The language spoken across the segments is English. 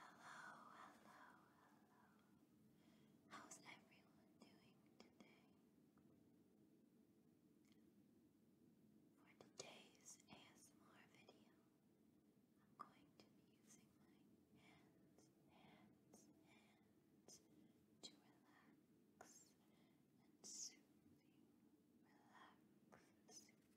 Hello, hello, hello. How's everyone doing today? For today's ASMR video, I'm going to be using my hands, hands, hands to relax and soothe you. Relax and soothe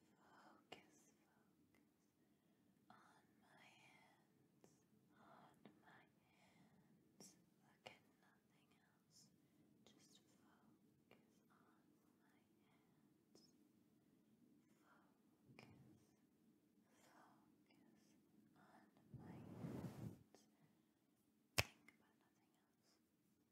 Focus, focus on my hands, on my hands. Look at nothing else. Just focus on my hands. Focus, focus on my hands. Think about nothing else.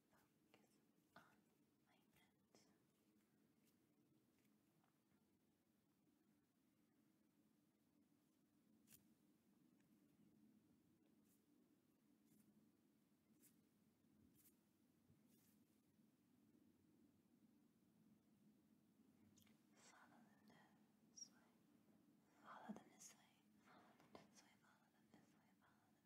focus on Follow them this way. Follow them this way. Follow them this way.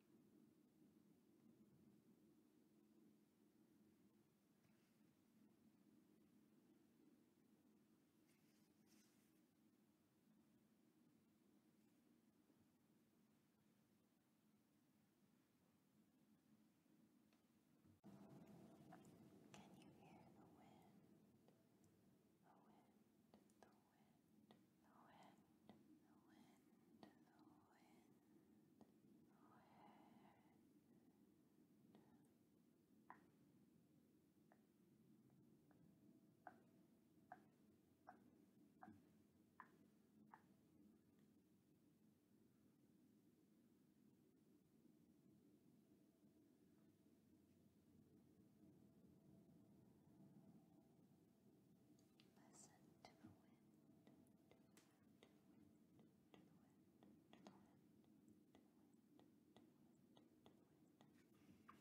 Can you hear the wind? The wind, the wind, wind, the wind, the wind, the wind. Now Listen to the wind, Follow my finger. Here, here, here, here, here. the wind.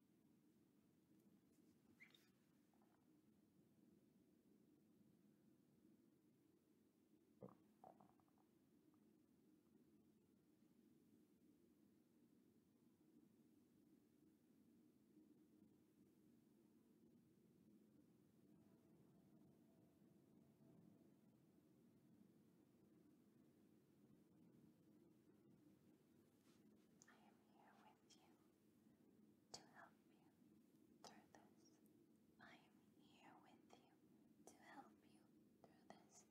I am here with you to help you through this. I am here with you to help you through this.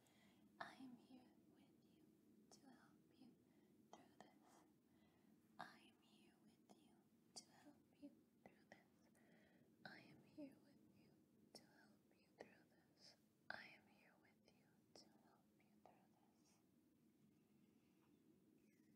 I am here with you to help you through this. I am here with you to help you through this. I am here with you to help you through this. I am here with you to help you through this. I am here with you to help